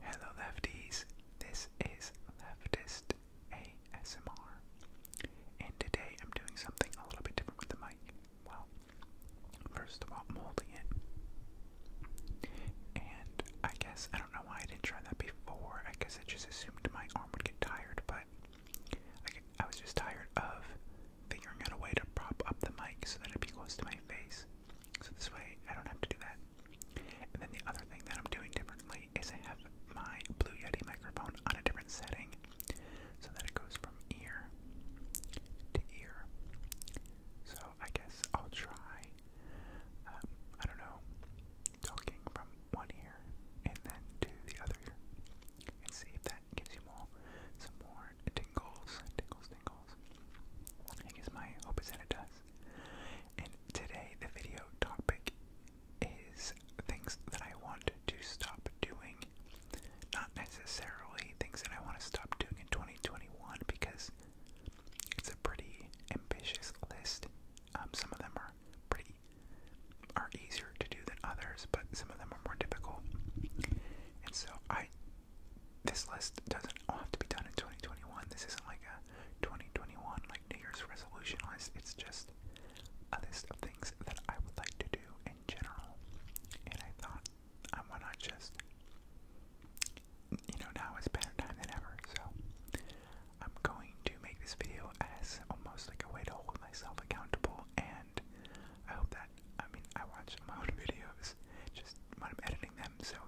Hello, lefties. This is Leftist ASMR, and today I'm doing something a little bit different with the mic. Well, first of all, molding it, and I guess I don't know why I didn't try that before. I guess I just assumed my arm would get tired, but I was just tired of figuring out a way to prop up the mic so that it'd be close to my face. So this way, I don't have to do that. And then the other thing that I'm doing differently is I have my Blue Yeti microphone on a different setting so that it goes from ear to ear. So I guess I'll try, um, I don't know, talking from one ear and then to the other ear and see if that gives you more, some more tingles, tingles, tingles. I guess my hope is that it does. And today, the video topic is things that I want to stop doing. Not necessarily things that I want to stop doing in 2021 because it's a pretty ambitious list. Um, some of them are pretty are easier to do than others, but some of them are more difficult. And so I this list doesn't have to be done in 2021. This isn't like a 2021 like New Year's resolution list. It's just a list of things that I would like to do in general. And I thought, I why not just, you know, now is better time than ever. So I'm going to make this video as almost like a way to hold myself accountable. And I hope that, I mean, I watch my own videos just when I'm editing them. So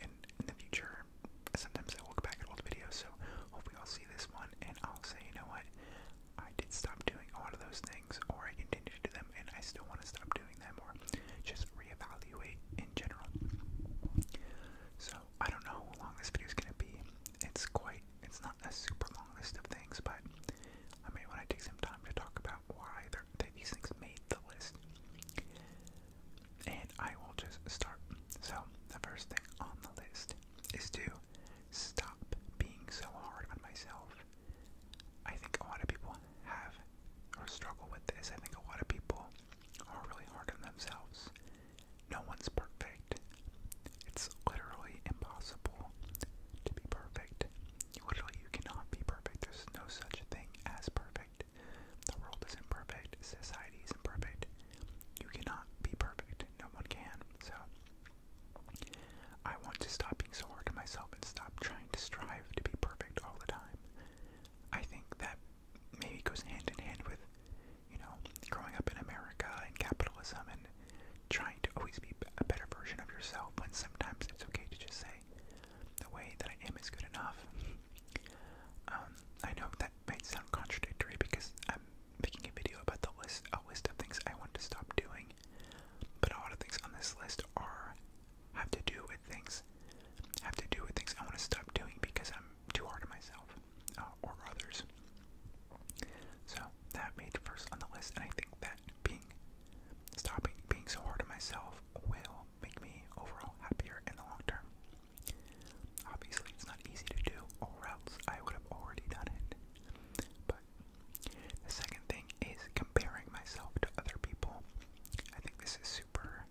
in, the future. Sometimes I look back at old videos, so hopefully I'll see this one and I'll say, you know what, I did stop doing a lot of those things, or I continued to do them and I still want to stop doing them, or just reevaluate in general. So I don't know how long this video is going to be. It's quite, it's not a super long list of things, but I may want to take some time to talk about why they, these things made the list. And I will just start. So, the first thing on the list is to stop being so hard on myself. I think a lot of people have or struggle with this. I think a lot of people are really hard on themselves. No one's perfect. It's literally impossible to be perfect. Literally, you cannot be perfect. There's no such thing as perfect. The world is imperfect. Society is imperfect. You cannot be perfect. No one can. So, I want to stop being so hard on myself and stop trying to strive to be perfect all the time. I think that maybe goes hand in hand with, you know, growing up in America and capitalism and trying to always be a better version of yourself when sometimes it's okay to just say, the way that I am is good enough. Um, I know that might sound contradictory because I'm making a video about the list, a list of things I want to stop doing, but a lot of things on this list are have to do with things have to do with things I want to stop doing because I'm too hard on myself uh, or others. So that made first on the list, and I think that being stopping being so hard on myself will make me overall happier in the long term. Obviously, it's not easy to do, or else I would have already done it. But the second thing is comparing myself to other people. I think this is super.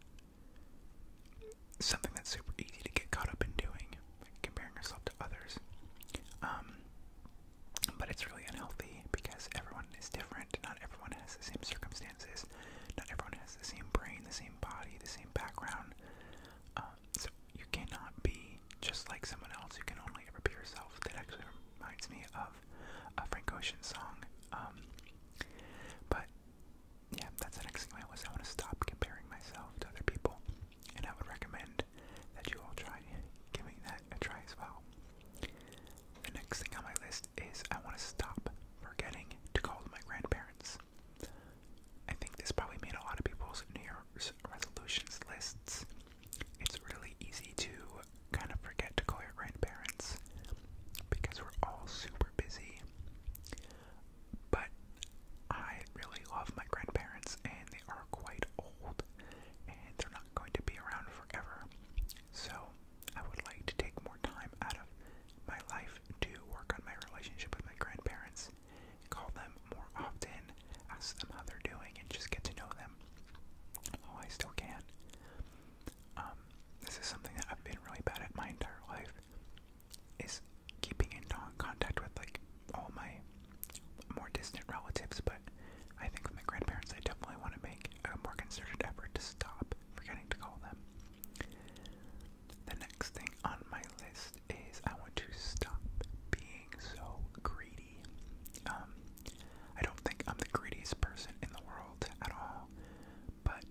Something that's super easy to get caught up in doing, like comparing yourself to others. Um, but it's really unhealthy because everyone is different. Not everyone has the same circumstances not everyone has the same brain, the same body, the same background. Um, so you cannot be just like someone else. You can only ever be yourself. That actually reminds me of a Frank Ocean song. Um, but yeah, that's the next thing I was. I want to stop comparing myself to other people, and I would recommend that you all try giving that a try as well. The next thing on my list is I want to stop forgetting to call my grandparents. I think this probably made a lot of people's New Year's resolutions lists. It's really easy to kind of forget to call your grandparents because we're all super busy. But I really love my grandparents, and they are quite old, and they're not going to be around forever. So I would like to take more time out of my life to work on my relationship with my grandparents, call them more often, ask them how they're doing, and just get to know them Oh, I still can. Um, this is something that I've been really bad at my entire life, is keeping in contact with like all my more distant relatives, but I think with my grandparents, I definitely want to make a more concerted effort to stop forgetting to call them. The next thing on my list is I want to stop being so greedy. Um, I don't think I'm the greediest person in the world at all, but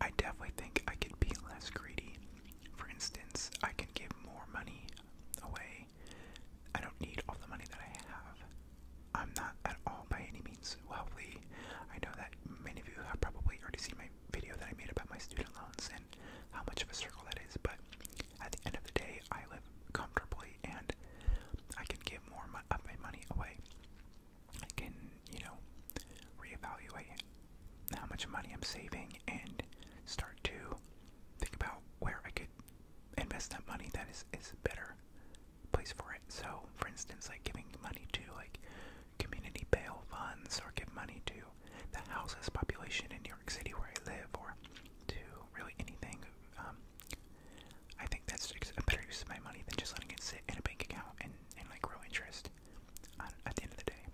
I definitely think I could be less greedy. For instance, I can give more money away. I don't need all the money that I have. I'm not at all by any means wealthy. I know that many of you have probably already seen my video that I made about my student loans and how much of a circle that is, but at the end of the day, I live comfortably and I can give more of my money away. I can, you know, reevaluate how much money I'm saving and start to think about where I could invest that money that is, is better place for it. So, for instance, like giving money to like community bail funds or give money to the houseless population in New York City where I live or to really anything. Um, I think that's a better use of my money than just letting it sit in a bank account and, and like grow interest on, um, at the end of the day.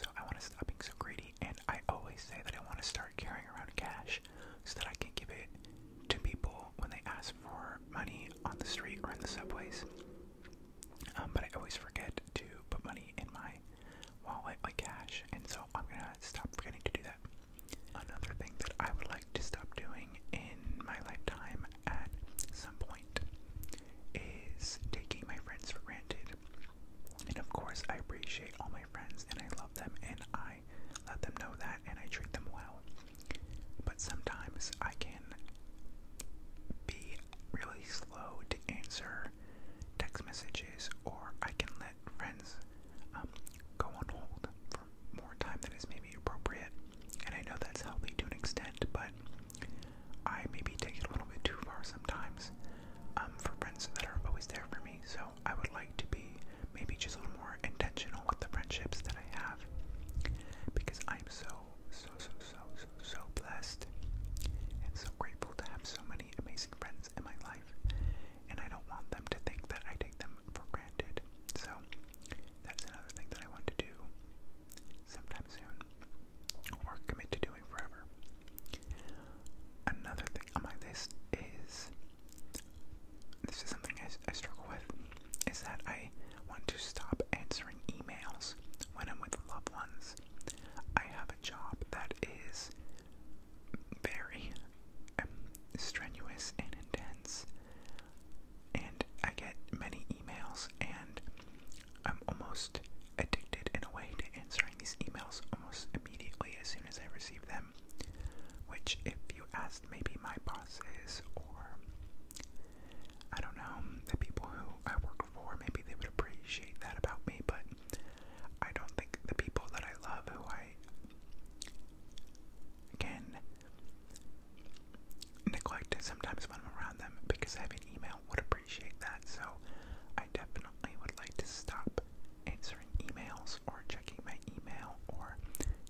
So I want to stop being so greedy, and I always say that I want to start carrying around cash so that I can give it to people when they ask for money on the street or in the subways. Um, but I always forget to put money in my wallet, like cash, and so I'm gonna stop forgetting to do that. Another thing that I would like to stop doing in my lifetime at some point is taking my friends for granted. And of course, I appreciate all my friends and I love them and I I let them know that and I treat them well. But sometimes I can be really slow to answer text messages, or I can let friends um, go on hold for more time than is maybe appropriate. And I know that's healthy to an extent, but I maybe take it a little bit too far sometimes um, for friends that are always there for me. So I would like to be maybe just a little more intentional with the friendships that I have because I'm so, so, so, so, so, so blessed and so grateful to have so many amazing friends in my life. And I don't want them to think that I take them for granted. So that's another thing that I want to do sometime soon or commit to doing forever. Another thing on my list is this is something I, I struggle with, is that I want to stop answering emails when I'm with loved ones. I have a job that is very um, strenuous and intense, and I get many emails, and I'm almost addicted in a way to answering these emails almost immediately as soon as I receive them. Which, if you asked maybe my bosses or I don't know, the people who I work for, maybe they would appreciate that about me, but I don't think the people that I love who I can neglect sometimes when I'm around them because I have an email would appreciate that. So I definitely would like to stop answering emails or checking my email or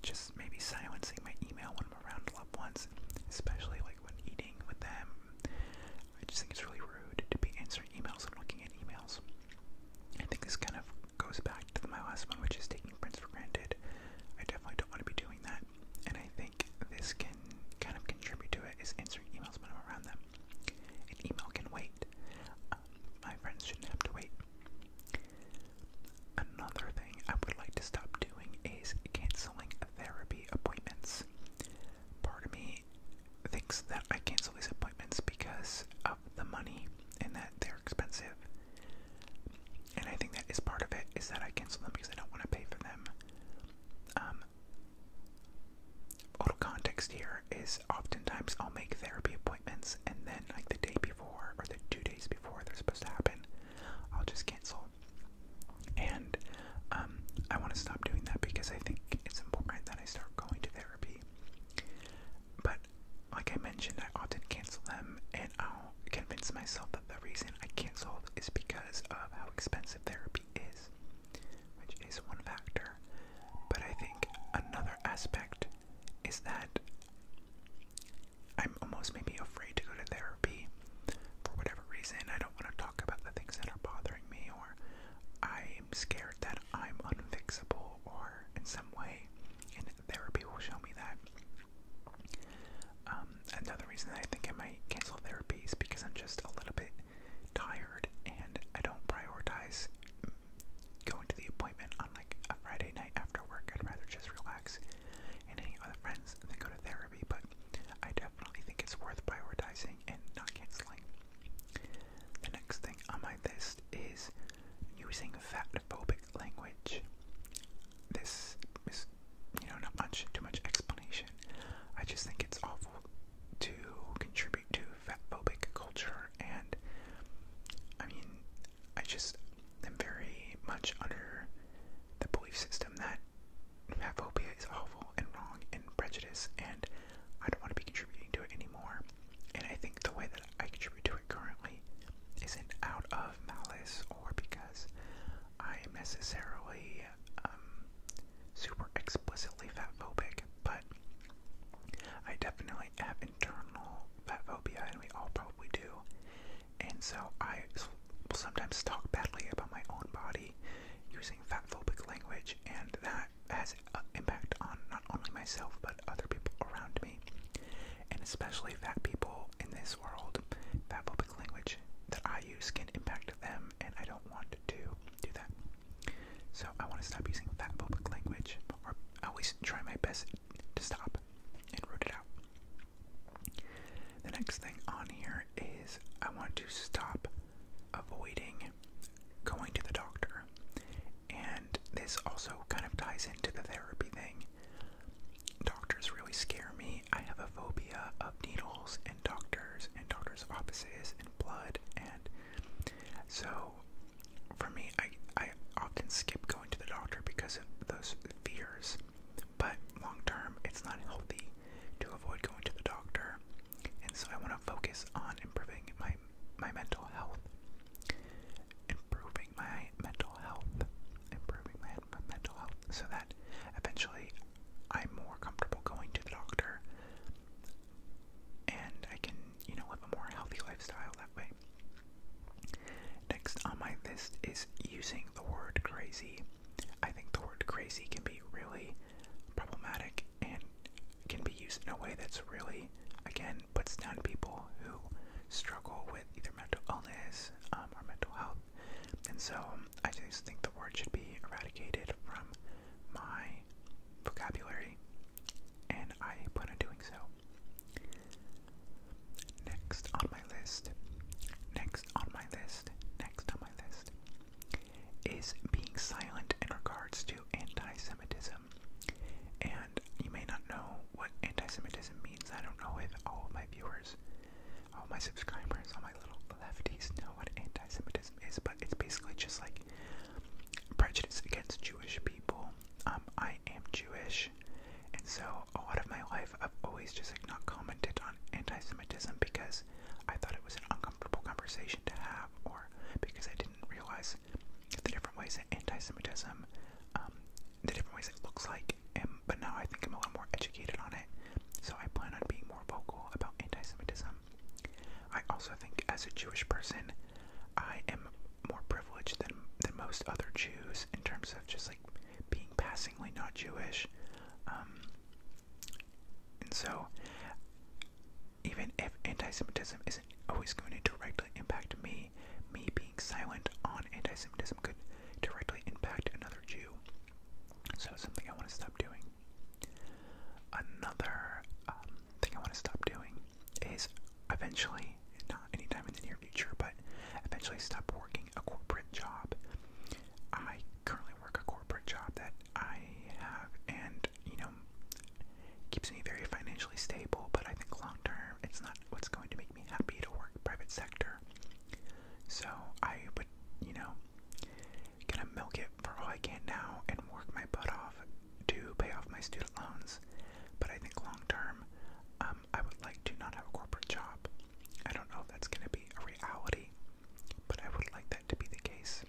just maybe silencing my email when I'm around loved ones, especially like when eating with them. I just think it's really rude to be answering emails and looking at emails. I think this kind of goes back to my last one, which is taking friends for granted. I definitely don't want to be doing that, and I think this can kind of contribute to it is answering emails when I'm around them. An email can wait. Um, my friends shouldn't have to wait. Another thing I would like to stop doing is canceling therapy appointments. Part of me thinks that I cancel these appointments because of the money and that they're expensive. And I think that is part of it is that I cancel them because I don't want to pay for them. Um, Total context here is oftentimes I'll make therapy appointments and then like the day before or the two days before they're supposed to happen, I'll just cancel. And um, I want to stop doing that because I think it's important that I start going to therapy. But like I mentioned, I often cancel them, and I'll convince myself that the reason I canceled is because of how expensive therapy is, which is one factor. But I think another aspect is that I'm almost maybe afraid to go to therapy for whatever reason. I don't want to talk about the things that are bothering me, or I'm scared that I'm unfixable, or in some way, and therapy will show me that. Um, another reason that I think I might cancel therapy is because I'm just a little bit tired and I don't prioritize going to the appointment on like a Friday night after work. I'd rather just relax and hang out with friends than go to therapy, but I definitely think it's worth prioritizing and not canceling. The next thing on my list is using fatphobic language. This is, you know, not much, too much explanation. I just think it's awful to contribute to fatphobic culture, and I mean, I just am very much under the belief system that fat phobia is awful and wrong and prejudice, and I don't want to be contributing to it anymore. And I think the way that I contribute to it currently isn't out of malice or because I am necessarily um, super explicitly fatphobic, but I definitely have internal fat phobia, and we all probably do. And so I will sometimes talk badly about my own body using fat phobic language, and that has an impact on not only myself but other people around me, and especially fat people in this world. Fat language that I use can impact them, and I don't want to do that. So I want to stop using that public language, or I always try my best to stop and root it out. The next thing on here is I want to stop avoiding going to the doctor. And this also kind of ties into the therapy thing. Doctors really scare me. I have a phobia of needles and doctors and doctors' offices and blood. And so for me, I I often skip going to the doctor because of those fears. But long term, it's not healthy to avoid going to the doctor, and so I want to focus on improving my my mental health, improving my mental health, improving my, my mental health, so that eventually I'm more comfortable going to the doctor and I can, you know, live a more healthy lifestyle that way. Next on my list is using the word crazy. I think the word crazy can be really problematic and can be used in a way that's really, again, puts down people who struggle with either mental illness um, or mental health. And so I just think the word should be eradicated from my vocabulary, and I plan on doing so. Next on my list, next on my list, next on my list is being silent in regards to anti Semitism. And you may not know what anti Semitism means. I don't know if all of my viewers, all my subscribers, all my little lefties know what anti Semitism but it's basically just like prejudice against Jewish people. Um, I am Jewish, and so a lot of my life I've always just like not commented on anti-Semitism because I thought it was an uncomfortable conversation to have, or because I didn't realize the different ways that anti-Semitism, um, the different ways it looks like. but now I think I'm a little more educated on it, so I plan on being more vocal about anti-Semitism. I also think as a Jewish person, I am more privileged than than most other Jews in terms of just like being passingly not Jewish. Um, and so, even if anti-Semitism isn't always going to directly impact me, me being silent on anti-Semitism could directly impact another Jew. So something I want to stop doing. Another um, thing I want to stop doing is eventually, not anytime in the near future, but eventually stop working a corporate job. I currently work a corporate job that I have, and you know, keeps me very financially stable. But I think long term, it's not what's going to make me happy to work private sector. So I would, you know, Gonna milk it for all I can now and work my butt off to pay off my student loans. But I think long term, um, I would like to not have a corporate job. I don't know if that's gonna be a reality, but I would like that to be the case.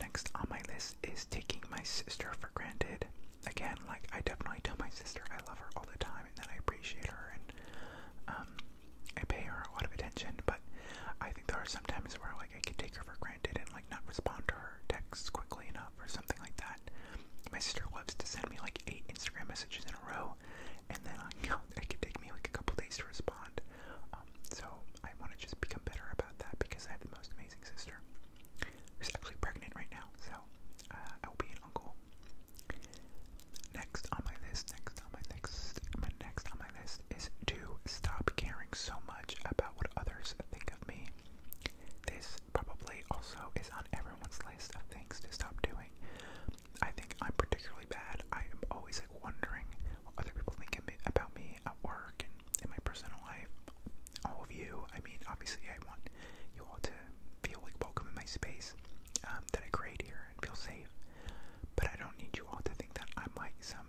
Next on my list is taking my sister for granted. Again, like I definitely tell my sister I love her all the time and that I appreciate her and um, I pay her a lot of attention, but I think there are some times where like I can take her for granted and like not respond to her texts quickly enough or something like that. My sister loves to send me like eight Instagram messages in a row, and then like, it can take me like a couple days to respond. Um, so I want to just become better about that because I have the most amazing sister who's actually pregnant right now. So uh, I will be an uncle. Next on my list, next on my next, my next on my is to stop caring so much about what others think of me. This probably also is on everyone's list of things to stop doing. I think I'm particularly bad. I am always like wondering what other people think about me at work and in my personal life. All of you, I mean, obviously, I want you all to feel like welcome in my space um, that I create here and feel safe. But I don't need you all to think that I'm like some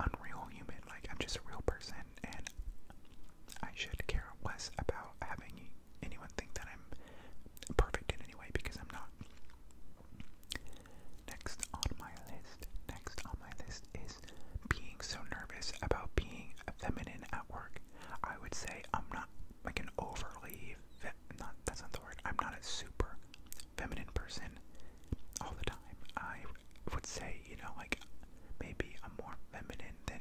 unreal human. Like, I'm just a real person, and I should care less about having anyone think that I'm perfect in any way because I'm not. Next on my list, next on my list is being so nervous about being feminine at work. I would say I'm not like an overly, not that's not the word. I'm not a super feminine person all the time. I would say, you know, like maybe I'm more feminine than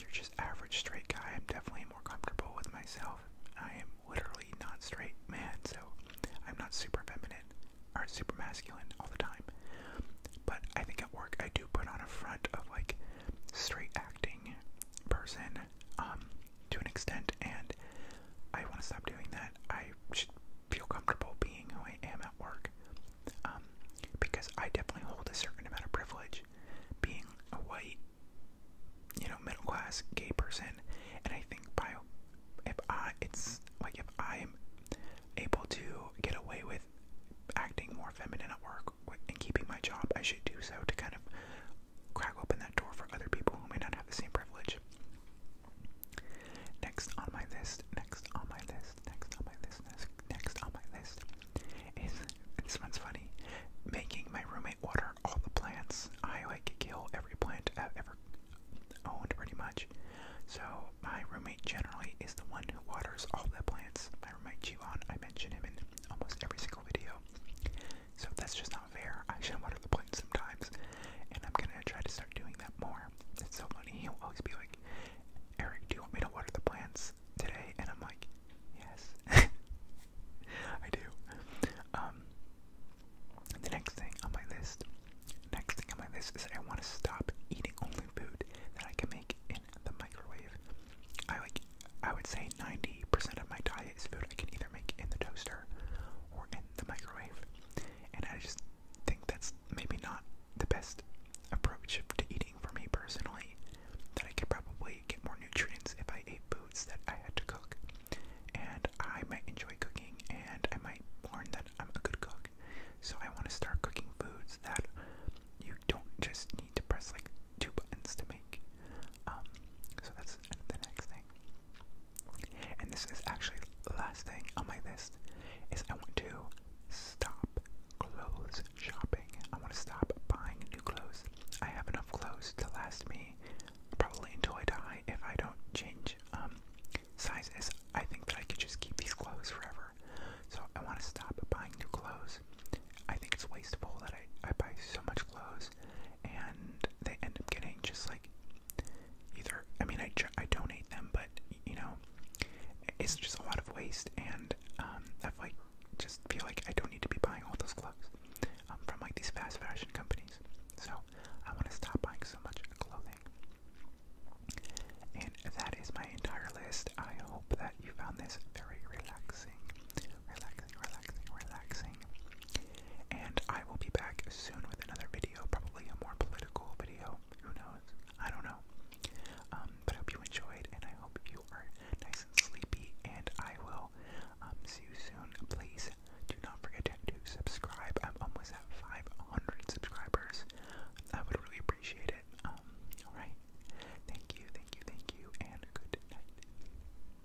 your just average straight guy. I'm definitely more comfortable with myself. I am literally not straight man, so I'm not super feminine or super masculine all the time. But I think at work I do put on a front of like straight acting person um to an extent and I want to stop doing that that I should feel comfortable being who I am at work. Um, because I definitely hold a certain amount of privilege being a white, you know, middle class gay person. And I think by if I, it's like if I'm able to get away with acting more feminine at work and keeping my job, I should do so to kind of crack open that door for other people who may not have the same privilege. Next on my list, next on my list, next on my list, next, next on my list is this one's funny. Making my roommate water all the plants. I like kill every plant I've ever owned pretty much. So my roommate generally is the one who waters all the plants. My roommate Jiwon, I mention him in almost every single video. So that's just not I should water the plants sometimes, and I'm gonna try to start doing that more. so funny. He'll always be like, Eric, do you want me to water the plants today? And I'm like, yes, I do. Um, the next thing on my list, next thing on my list is I want to stop eating only food that I can make in the microwave. I like, I would say 90% of my diet is food I can either make in the toaster or in the microwave. And I just think that's maybe not the best approach to eating for me personally. That I could probably get more nutrients if I ate foods that I had to cook. And I might enjoy cooking and I might learn that I'm a good cook. So I want to start cooking foods that you don't just need to press like two buttons to make. Um, so that's the next thing. And this is actually the last thing on my list is I want to stop clothes shopping. I want to stop buying new clothes. I have enough clothes to last me probably until I die if I don't change um, sizes. I think that I could just keep these clothes forever. So I want to stop buying new clothes. I think it's wasteful that I, I buy so much clothes things, and they end up getting just like either. I mean, I I donate them, but you know, it's just a lot of waste, and um, I've like just feel like I don't need to be buying all those clothes um, from like these fast fashion companies. So I want to stop buying so much clothing. And that is my entire list. I hope that you found this very relaxing relaxing, relaxing, relaxing. And I will be back soon with another video, probably a more political video. Who knows? I don't know. Um, but I hope you enjoyed, and I hope you are nice and sleepy. And I will um, see you soon. Please do not forget to subscribe. I'm almost at 500 subscribers. I would really appreciate it. Um, Alright. Thank you, thank you, thank you, and good night.